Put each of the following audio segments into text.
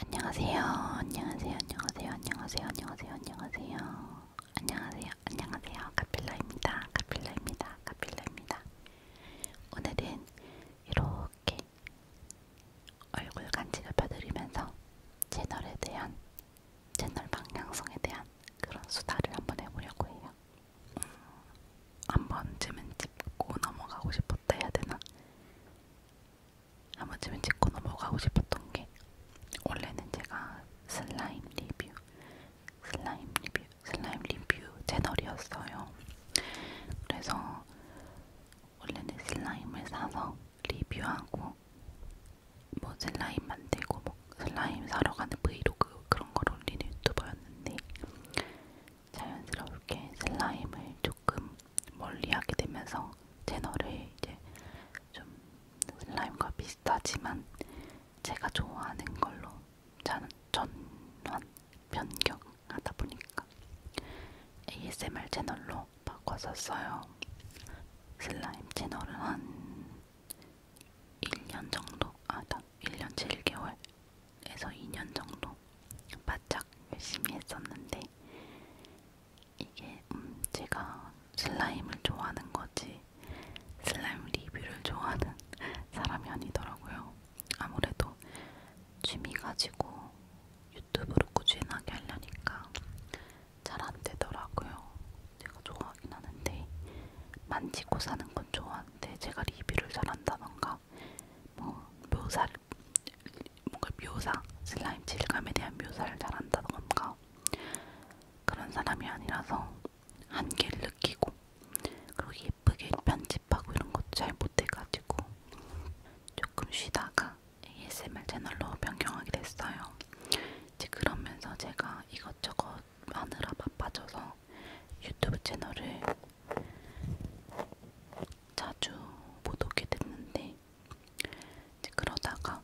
안녕하세요. 안녕하세요. 안녕하세요. 안녕하세요. 안녕하세요. 안녕하세요. 안녕하세요. 안녕하세요. 카필라입니다. 카필라입니다. 카필라입니다. 오늘은 이렇게 얼굴 간지럽혀 드리면서 채널에 대한 채널 방향성에 대한 그런 수다를 한번 해보려고 해요. 음, 한 번쯤은 짚고 넘어가고 싶었다 해야 되나? 한 번쯤은 찍고 넘어가고 싶었던 게 원래는 제가 슬라임 리뷰, 슬라임 리뷰, 슬라임 리뷰 채널이었어요. 그래서 원래는 슬라임을 사서 리뷰하고 뭐 슬라임 만들고 뭐 슬라임 사러 가는 브이로그 그런 걸 올리는 유튜버였는데 자연스럽게 슬라임을 조금 멀리하게 되면서 채널을 이제 좀 슬라임과 비슷하지만 제가 좋아하는 걸로 저는 전환 변경하다 보니까 ASMR 채널로 바꿨었어요. 슬라임 채널은 한 1년 정도, 아, 1년 7개월에서 2년 정도 바짝 열심히 했었는데 이게 음 제가 슬라임을 좋아하는 거지 슬라임 리뷰를 좋아하는 사람이 아니더라고요. 아무래도 취미 가지고 유튜브로 꾸준하게 하려니까 잘 안 되더라고요. 제가 좋아하긴 하는데 만지고 사는 건 좋아하는데 제가 리뷰를 잘한다던가 뭐 묘사를 뭔가 묘사, 슬라임 질감에 대한 묘사를 잘한다던가 그런 사람이 아니라서 한계를 느끼고 그리고 예쁘게 편집하고 이런 것도 잘 못해가지고 조금 쉬다가 ASMR 채널로 변경하게 됐어요. 이제 그러면서 제가 이것저것 마느라 바빠져서 유튜브 채널을 자주 못 오게 됐는데 이제 그러다가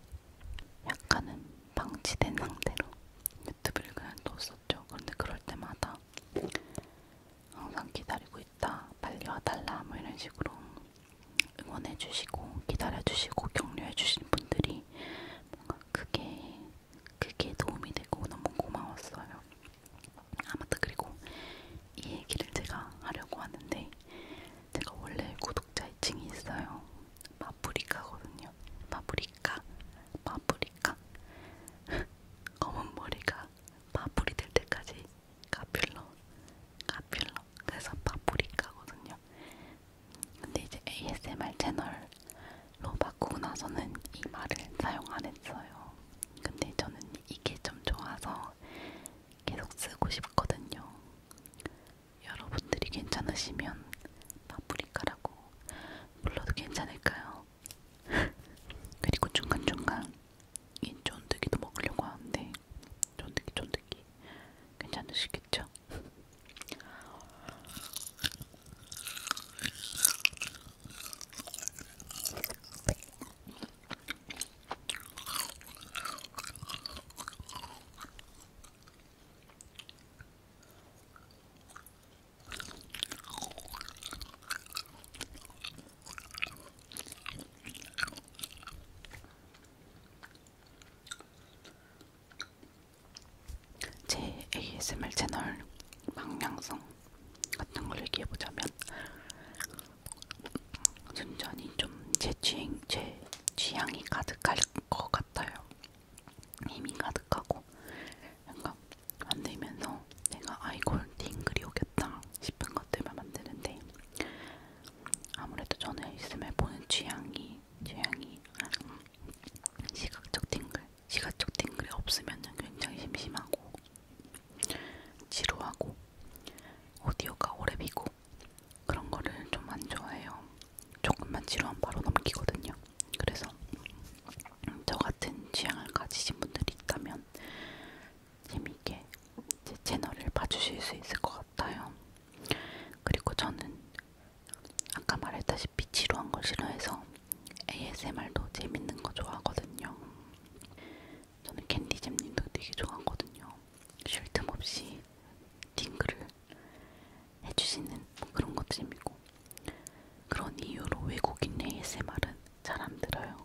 약간은 방치된 상태로 유튜브를 그냥 뒀었죠. 그런데 그럴 때마다 항상 기다리고 있다, 빨리 와달라 뭐 이런 식으로 응원해주시고 기다려주시고 격려해주신 분들이 뭔가 그게 그게 도움이 되고 너무 고마웠어요. 아무튼 그리고 이 얘기를 제가 하려고 하는데 제가 원래 구독자 2층이 있어요. 마프리카거든요. 마프리카, 마프리카. 검은 머리가 마풀이 될 때까지 가필러, 가필러. 그래서 마프리카거든요. 근데 이제 ASMR 채널로 바꾸고 나서는 이 말을 사용 안 했어요. 근데 저는 이게 좀 좋아서 계속 쓰고 싶거든요. 여러분들이 괜찮으시면 파프리카라고 불러도 괜찮을까요? 그리고 중간중간 이 쫀득이도 먹으려고 하는데 쫀득이 쫀득이 괜찮으시겠죠? 제 ASMR 채널 방향성 같은 걸 얘기해 보자면 순전히 좀제 취향, 제 취향이 가득할 것 같아요. 힘이 가득하고 약간 만들면서 내가 아 이걸 딩글이 오겠다 싶은 것들만 만드는데 아무래도 저는 있음에 보는 취향이 취향이 시각적 딩글 시각적 딩글이 없으면 굉장히 심심하고 지루하고 오디오가 오래 비고 그런 거를 좀 안 좋아해요. 조금만 지루한 바로 넘기거든요. 그래서 저 같은 취향을 가지신 분들이 있다면 재미있게 제 채널을 봐주실 수 있을 것 같아요. 그리고 저는 아까 말했다시피 지루한 걸 싫어해서 ASMR도 재밌는 거 좋아하거든요. 저는 캔디잼님도 되게 좋아하거든요. 쉴 틈 없이 딩글을 해주시는 그런 것 재미고 그런 이유로 외국인 ASMR은 잘 안 들어요.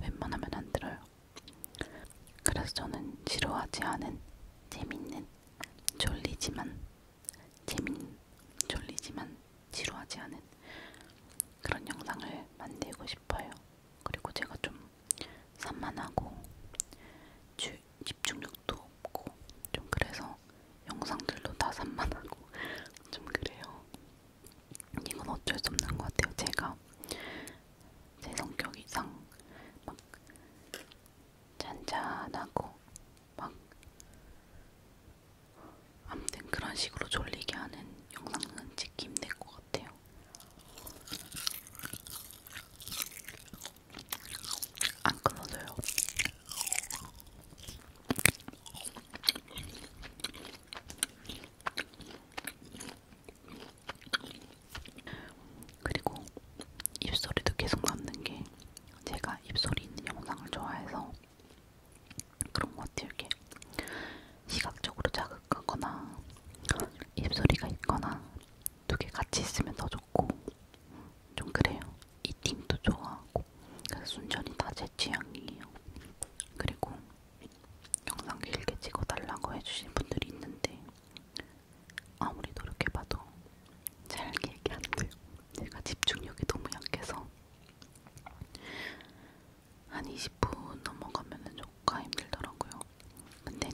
웬만하면 안 들어요. 그래서 저는 지루하지 않은 재밌는 졸리지만 재밌는 졸리지만 지루하지 않은 그런 영상을 만들고 싶어요. 그리고 제가 좀 산만하고 주, 집중력도 없고 좀 그래서 영상들도 다 산만하고 좀 그래요. 이건 어쩔 수 없는 것 같아요. 제가 제 성격 이상 막 잔잔하고 막 아무튼 그런 식으로 졸리게 하는 영상은 찍기 힘들 것 같아요. 안 끊어져요. 그리고 입소리도 계속 남는 게 제가 입소리 있는 영상을 좋아해서 그런 것 같아요. 이렇게 시각적으로 자극하거나 입소리가 있거나 두 개 같이 있으면 더 좋고 좀 그래요. 이 팀도 좋아하고 그래서 순전히 다 제 취향이에요. 그리고 영상 길게 찍어달라고 해주신 분들이 있는데 아무리 노력해봐도 잘 길게 안 돼요. 제가 집중력이 너무 약해서 한 20분 넘어가면은 좀 생각보다 힘들더라고요. 근데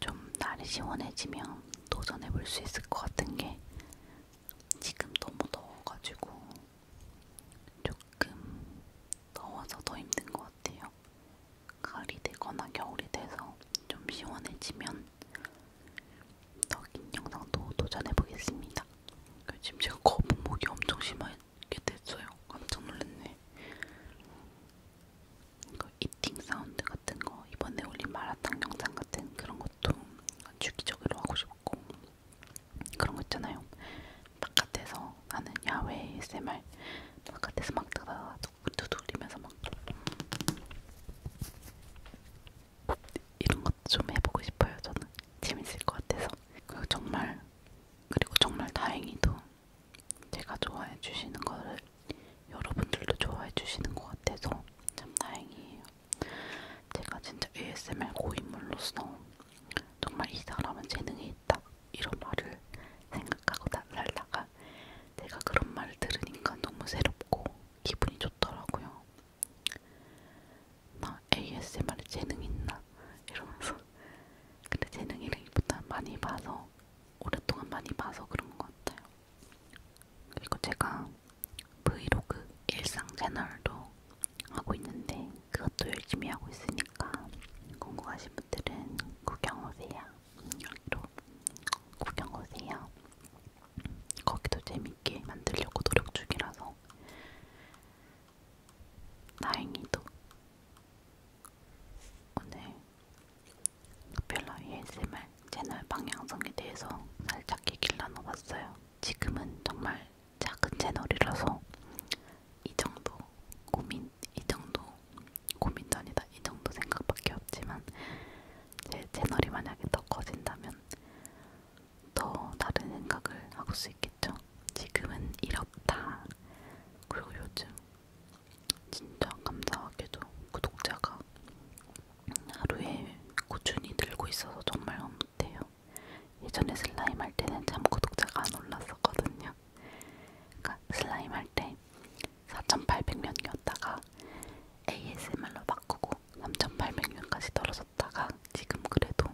또좀 날이 시원해지면 도전해볼 수 있을 것 같은 게 지금 너무 더워가지고 조금 더워서 더 힘든 것 같아요. 가을이 되거나 겨울이 돼서 좀 시원해지면 더 긴 영상도 도전해보겠습니다. 요즘 제가 거북목이 엄청 심해서 꽤 됐어요. 깜짝 놀랐네. 이거 이팅 사운드 같은 거 이번에 올린 마라탕 영상 같은 그런 것도 주기적으로 하고 싶고 그런 거 있잖아요. 바깥에서 하는 야외 ASMR 바깥에서 막 따다다 두들리면서 막 이런 것좀 해보고 싶어요. 저는 재밌을 것 같아서 그리고 정말 그리고 정말 다행히도 제가 좋아해 주시는 거를 여러분들도 좋아해 주시는 것 같아서 참 다행이에요. 제가 진짜 ASMR 고인물로서 정말 이 사람은 재능이 있다 이런 말을 생각하고 살다가 제가 그런 말을 들으니까 너무 새롭고 기분이 좋더라고요. 나 ASMR에 재능 있나 이러면서 근데 재능이라기보다 많이 봐서 오랫동안 많이 봐서 그런 것 같아요. 그리고 제가 브이로그 일상 채널도 하고 있는데 그것도 열심히 하고 있으니까 궁금하신 분들은 구경 오세요. 여기로 구경 오세요. 거기도 재밌게 만들려고 노력 중이라서 다행히도 오늘 별로 ASMR 채널 방향성에 대해서 살짝 얘기를 나눠봤어요. 지금은 정말 작은 채널이라서 이 정도 고민, 이 정도 고민도 아니다, 이 정도 생각밖에 없지만 제 채널이 만약에 더 커진다면 더 다른 생각을 하고 수 있게. 있겠죠. 지금은 이렇다. 그리고 요즘 진짜 감사하게도 구독자가 하루에 꾸준히 늘고 있어서 정말 흐뭇해요. 예전에 슬라임 할 때는 참 구독자가 안 올랐었거든요. 그러니까 슬라임 할때 4,800명이었다가 ASMR로 바꾸고 3,800명까지 떨어졌다가 지금 그래도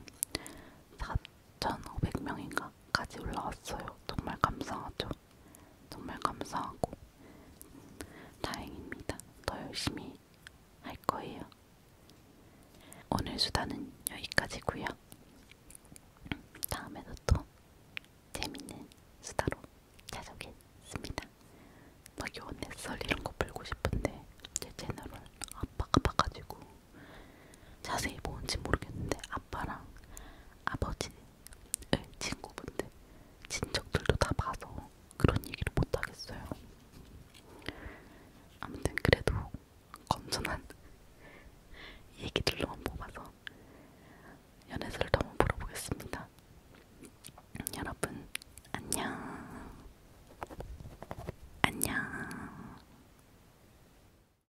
4,500명인가 까지 올라왔어요. 정말 감사하죠. 정말 감사하고 다행입니다. 더 열심히 할 거예요. 오늘 수다는 여기까지고요. 다음에도 또 재밌는 수다로 찾아오겠습니다. 막 요원의 썰 이런 거 풀고 싶은데 제 채널을 아빠가 봐가지고 자세히 뭔지 모르겠는데 아빠랑 아버지의 친구분들, 친척들도 다 봐서 그런 얘기를 못 하겠어요. 아무튼 그래도 건전한 얘기들로만 뽑아서 연애설을 한번 물어보겠습니다. 여러분 안녕 안녕